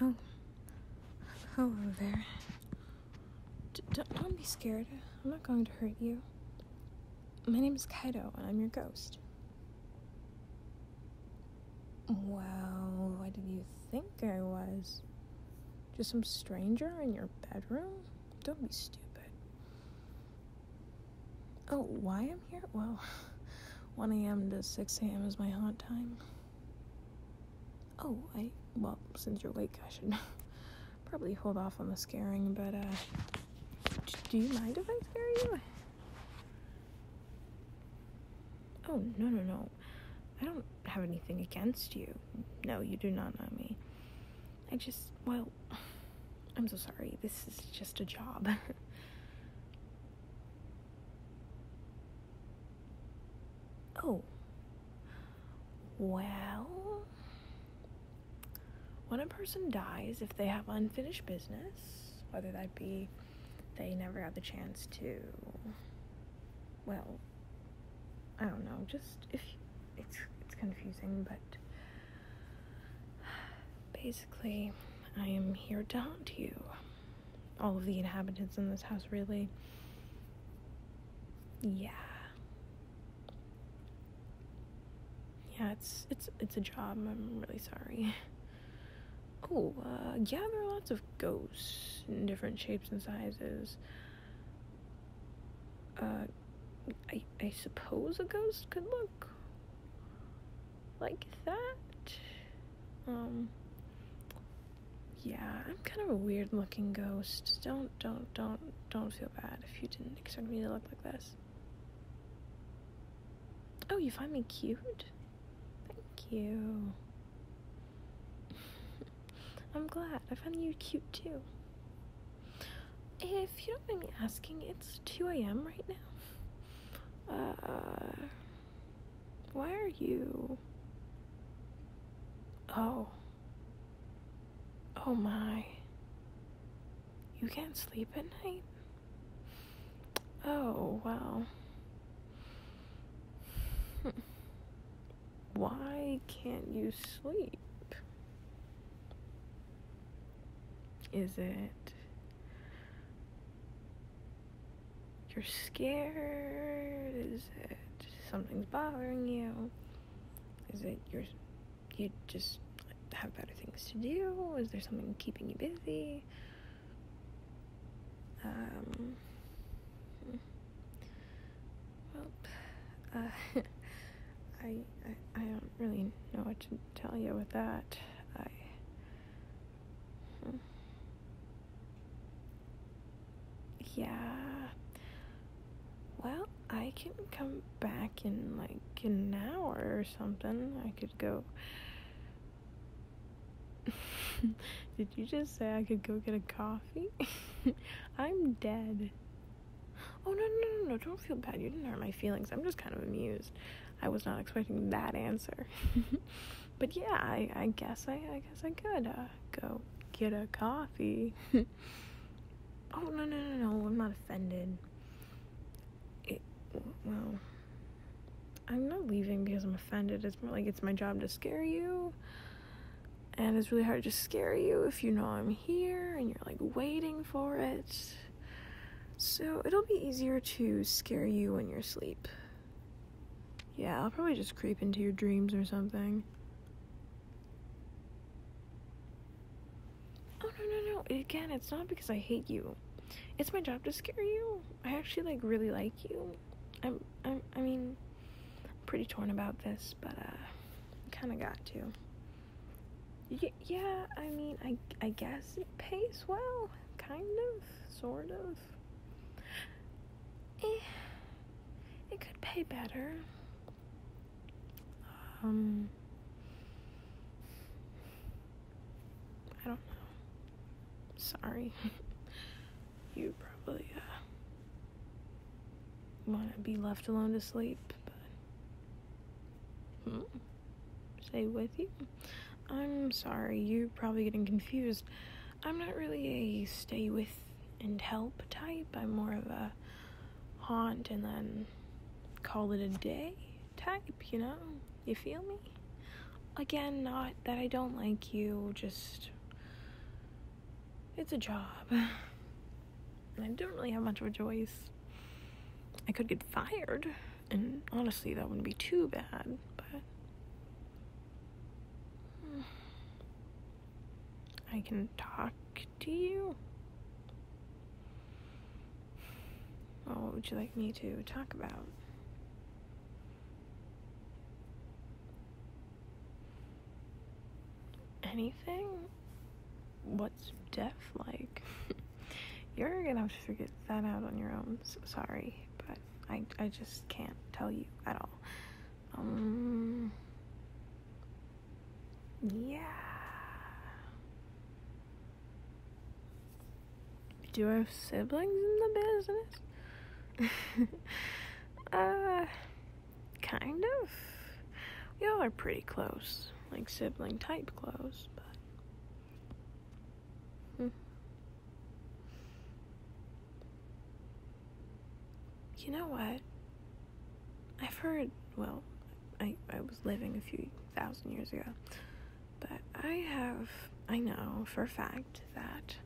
Oh. Hello there. don't be scared. I'm not going to hurt you. My name is Kaido, and I'm your ghost. Well, what did you think I was? Just some stranger in your bedroom? Don't be stupid. Oh, why I'm here? Well, 1 a.m. to 6 a.m. is my haunt time. Oh, I. Well, since you're awake, I should probably hold off on the scaring, but, uh. Do you mind if I scare you? Oh, no, no, no. I don't have anything against you. No, you do not know me. I just, well, I'm so sorry. This is just a job. oh. Well, when a person dies, if they have unfinished business, whether that be they never had the chance to, well, I don't know, just if it's it's confusing, but Basically, I am here to haunt you. All of the inhabitants in this house, really. Yeah. Yeah, it's it's it's a job. I'm really sorry. Cool. uh, yeah, there are lots of ghosts in different shapes and sizes. Uh, I, I suppose a ghost could look like that. Um, yeah, I'm kind of a weird looking ghost. Don't, don't, don't, don't feel bad if you didn't expect me to look like this. Oh, you find me cute? Thank you. I'm glad. I found you cute too. If you don't mind me asking, it's 2 a.m. right now. Uh, why are you. Oh. Oh my. You can't sleep at night? Oh, wow why can't you sleep? Is it you're scared? Is it something's bothering you? Is it you're you just have better things to do? Is there something keeping you busy? Um, hmm. Well, uh, I, I, I don't really know what to tell you with that. I. Hmm. Yeah. Well, I can come back in like an hour or something. I could go Did you just say I could go get a coffee? I'm dead. Oh, no, no, no, no, don't feel bad. You didn't hurt my feelings. I'm just kind of amused. I was not expecting that answer. but yeah, I, I guess I, I guess I could uh, go get a coffee. oh, no, no, no, no, I'm not offended. It, well, I'm not leaving because I'm offended. It's more like it's my job to scare you. And it's really hard to scare you if you know I'm here and you're like waiting for it. So it'll be easier to scare you when you're asleep. Yeah, I'll probably just creep into your dreams or something. Oh, no, no, no. Again, it's not because I hate you. It's my job to scare you. I actually, like, really like you. I'm, I'm I mean, I'm pretty torn about this, but uh, kind of got to. Y- yeah, I mean, I I guess it pays well, kind of, sort of. Eh, it could pay better. Um, I don't know sorry. you probably uh, want to be left alone to sleep, but hmm, stay with you. I'm sorry, you're probably getting confused. I'm not really a stay with and help type. I'm more of a haunt and then call it a day type, you know? You feel me? Again, not that I don't like you, just it's a job. and I don't really have much of a choice. I could get fired, and honestly, that wouldn't be too bad, but I can talk to you. Well, what would you like me to talk about? Anything? What's death like? You're gonna have to figure that out on your own. sorry, but I, I just can't tell you at all. Um, yeah. Do I have siblings in the business? uh, kind of. We all are pretty close, like sibling type close, but. Hmm. You know what? I've heard, well, I, I was living a few thousand years ago. But I have, I know for a fact that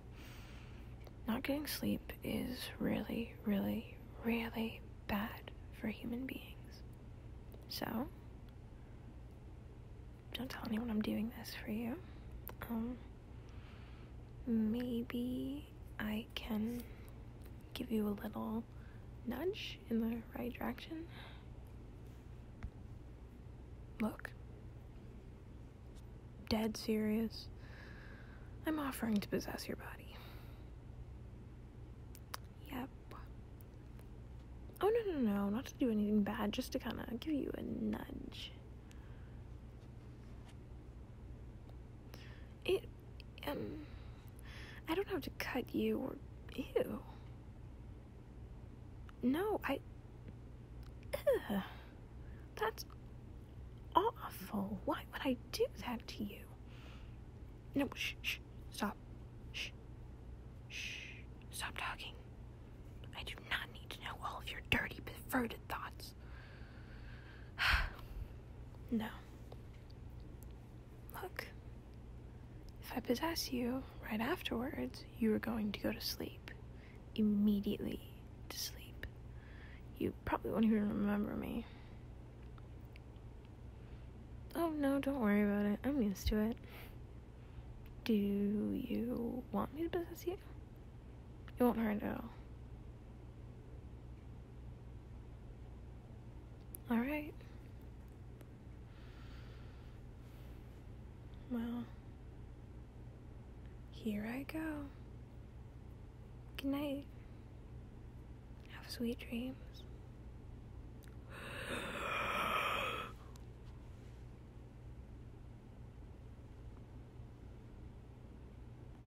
not getting sleep is really, really, really bad for human beings. So, don't tell anyone I'm doing this for you. Um, maybe I can give you a little nudge in the right direction. Look, dead serious. I'm offering to possess your body. Yep. Oh, no, no, no, not to do anything bad, just to kind of give you a nudge. It, um, I don't have to cut you or. you. No, I. That's awful. Why would I do that to you? No, shh, stop. Shh, shh, stop talking. I do not need to know all of your dirty, perverted thoughts. no. Look, if I possess you right afterwards, you are going to go to sleep. Immediately to sleep. You probably won't even remember me. Oh no, don't worry about it. I'm used to it. Do you want me to possess you? It won't hurt at all. Alright. Well, here I go. Good night. Have sweet dreams.